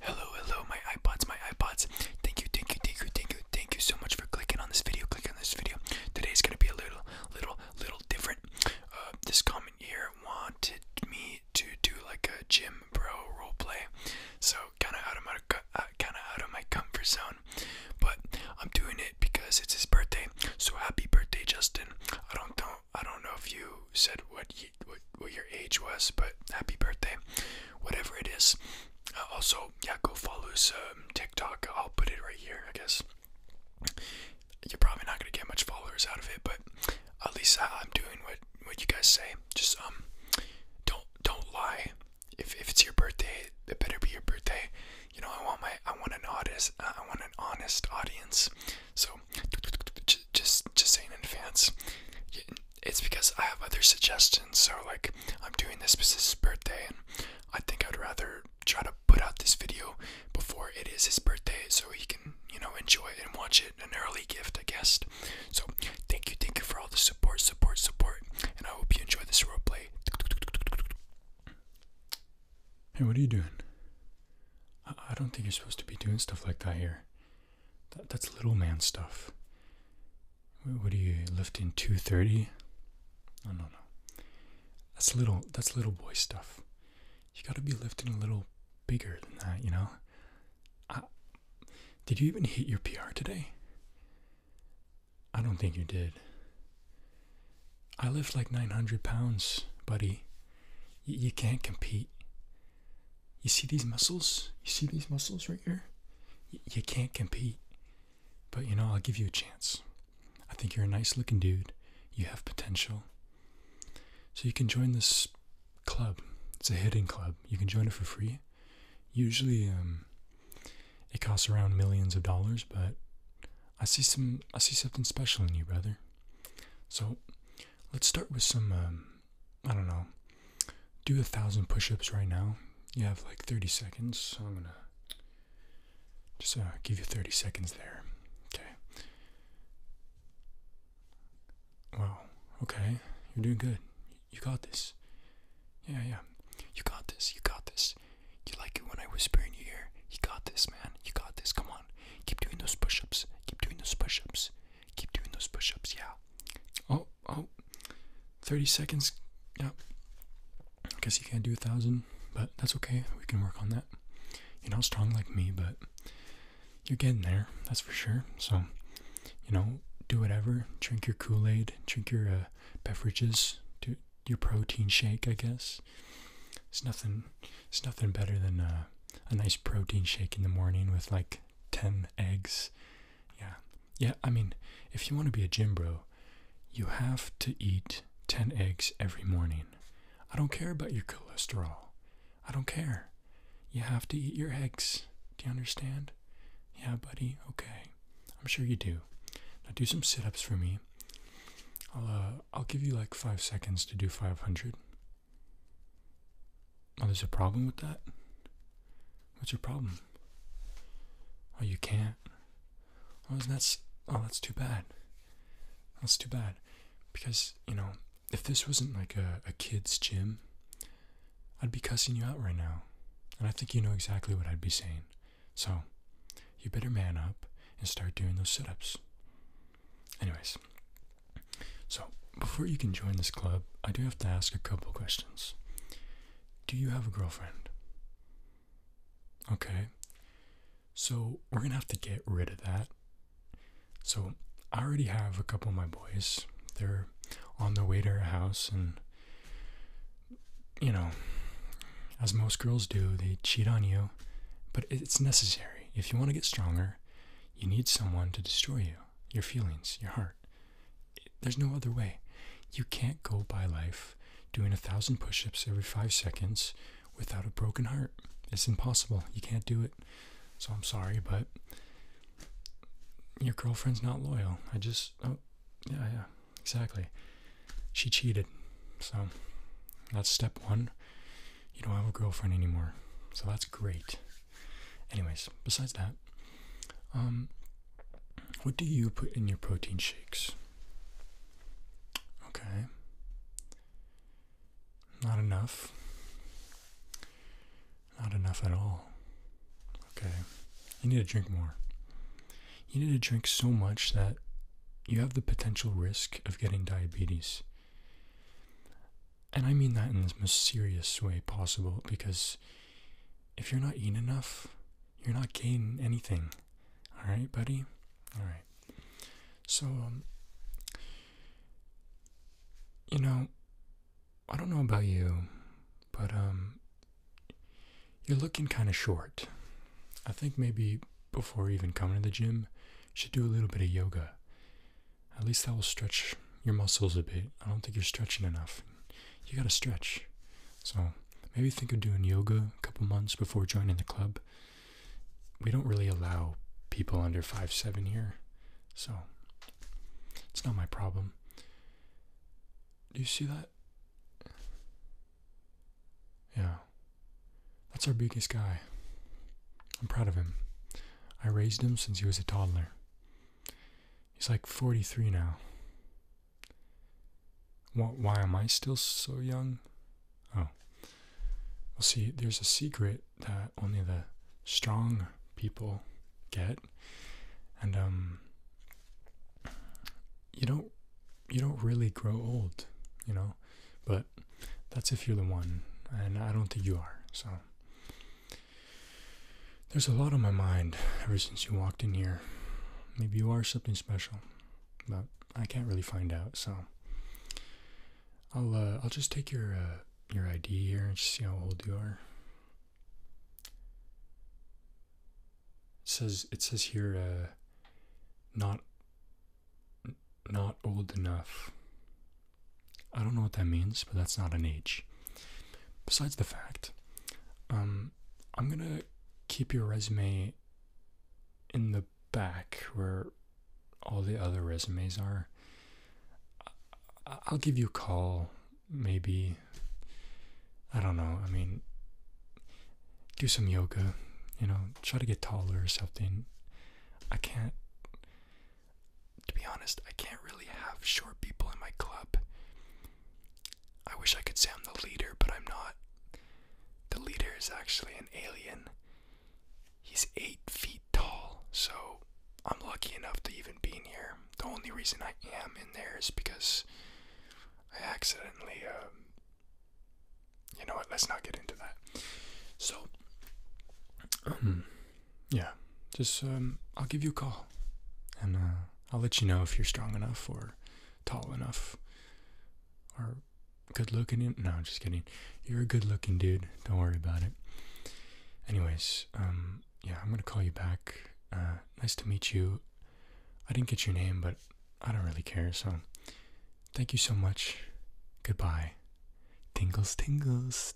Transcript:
Hello, hello, my iPods, my iPods. Thank you, thank you, thank you, thank you, thank you so much for clicking on this video. Clicking on this video. Today is gonna be a little, little, little different. Uh, this comment here wanted me to do like a gym bro role play, so kind of out of my, uh, kind of out of my comfort zone. But I'm doing it because it's his birthday. So happy birthday, Justin. I don't know, I don't know if you said what you, what, what your age was, but happy birthday, whatever it is. Uh, also, yeah, go follow his um, TikTok. I'll put it right here, I guess. You're probably not gonna get much followers out of it, but at least I, am doing what what you guys say. Just um, don't don't lie. If if it's your birthday, it better be your birthday. You know, I want my I want an honest uh, I want an honest audience. So just just saying in advance, it's because I have other suggestions. So, like, I'm doing this because his birthday, and I think I'd rather try to put out this video before it is his birthday so he can, you know, enjoy it and watch it. An early gift, I guess. So, thank you, thank you for all the support, support, support, and I hope you enjoy this roleplay. Hey, what are you doing? I don't think you're supposed to be doing stuff like that here that's little man stuff. What are you lifting? Two thirty? No, no, no. That's little. That's little boy stuff. You got to be lifting a little bigger than that, you know. I, did you even hit your PR today? I don't think you did. I lift like 900 pounds, buddy. you can't compete. You see these muscles? You see these muscles right here? you can't compete. But you know, I'll give you a chance. I think you're a nice looking dude. You have potential. So you can join this club. It's a hidden club. You can join it for free. Usually, um, it costs around millions of dollars, but I see some I see something special in you, brother. So let's start with some um, I don't know, do a thousand push ups right now. You have like 30 seconds. I'm going to just uh, give you 30 seconds there. Okay. Wow. Okay. You're doing good. You got this. Yeah, yeah. You got this. You got this. You like it when I whisper in your ear. You got this, man. You got this. Come on. Keep doing those push ups. Keep doing those push ups. Keep doing those push ups, yeah. Oh, oh, 30 seconds, yeah. I guess you can't do a thousand, but that's okay. We can work on that. You're not strong like me, but you're getting there, that's for sure. So, you know, do whatever. Drink your Kool Aid, drink your uh, beverages, do your protein shake, I guess. It's nothing. It's nothing better than uh, a nice protein shake in the morning with like 10 eggs. Yeah. Yeah, I mean, if you want to be a gym bro, you have to eat 10 eggs every morning. I don't care about your cholesterol. I don't care. You have to eat your eggs. Do you understand? Yeah, buddy. Okay. I'm sure you do. Now do some sit-ups for me. I'll uh, I'll give you like 5 seconds to do 500. Oh, there's a problem with that? What's your problem? Oh, you can't? Oh, is Oh, that's too bad. That's too bad. Because, you know, if this wasn't like a, a kid's gym, I'd be cussing you out right now. And I think you know exactly what I'd be saying. So, you better man up and start doing those sit ups. Anyways, so, before you can join this club, I do have to ask a couple questions. Do you have a girlfriend? Okay. So, we're going to have to get rid of that. So, I already have a couple of my boys. They're on the way to our house, and you know, as most girls do, they cheat on you. But it's necessary. If you want to get stronger, you need someone to destroy you, your feelings, your heart. There's no other way. You can't go by life doing a thousand push ups every five seconds without a broken heart. It's impossible. You can't do it. So I'm sorry, but your girlfriend's not loyal. I just, oh, yeah, yeah, exactly. She cheated. So that's step one. You don't have a girlfriend anymore. So that's great. Anyways, besides that, um, what do you put in your protein shakes? Okay. Not enough. Not enough at all. Okay. You need to drink more. You need to drink so much that you have the potential risk of getting diabetes and I mean that in the most serious way possible because if you're not eating enough, you're not gaining anything. All right, buddy? All right. So, um, you know, I don't know about you, but um, you're looking kind of short. I think maybe before even coming to the gym, you should do a little bit of yoga. At least that will stretch your muscles a bit. I don't think you're stretching enough. You gotta stretch. So maybe think of doing yoga a couple months before joining the club. We don't really allow people under five seven here, so it's not my problem. Do you see that? Yeah. That's our biggest guy. I'm proud of him. I raised him since he was a toddler. He's like 43 now. why am I still so young? Oh. Well, see, there's a secret that only the strong people get. And, um, you don't, you don't really grow old, you know? But that's if you're the one. And I don't think you are, so. There's a lot on my mind ever since you walked in here. Maybe you are something special, but I can't really find out. So I'll uh, I'll just take your uh, your ID here and see how old you are. It says it says here uh, not not old enough. I don't know what that means, but that's not an H. Besides the fact, um, I'm gonna keep your resume in the back where all the other resumes are. I'll give you a call, maybe. I don't know. I mean, do some yoga, you know, try to get taller or something. I can't to be honest, I can't really have short people in my club. I wish I could say I'm the leader, but I'm not. The leader is actually an alien. He's eight feet tall, so I'm lucky enough to even be in here. The only reason I am in there is because I accidentally, um, you know what, let's not get into that. So, um, yeah, just um, I'll give you a call, and uh, I'll let you know if you're strong enough or tall enough or good looking. No, I'm just kidding. You're a good looking dude. Don't worry about it. Anyways, um, yeah, I'm gonna call you back. Uh, nice to meet you. I didn't get your name, but I don't really care. So, thank you so much. Goodbye. Tingles, tingles.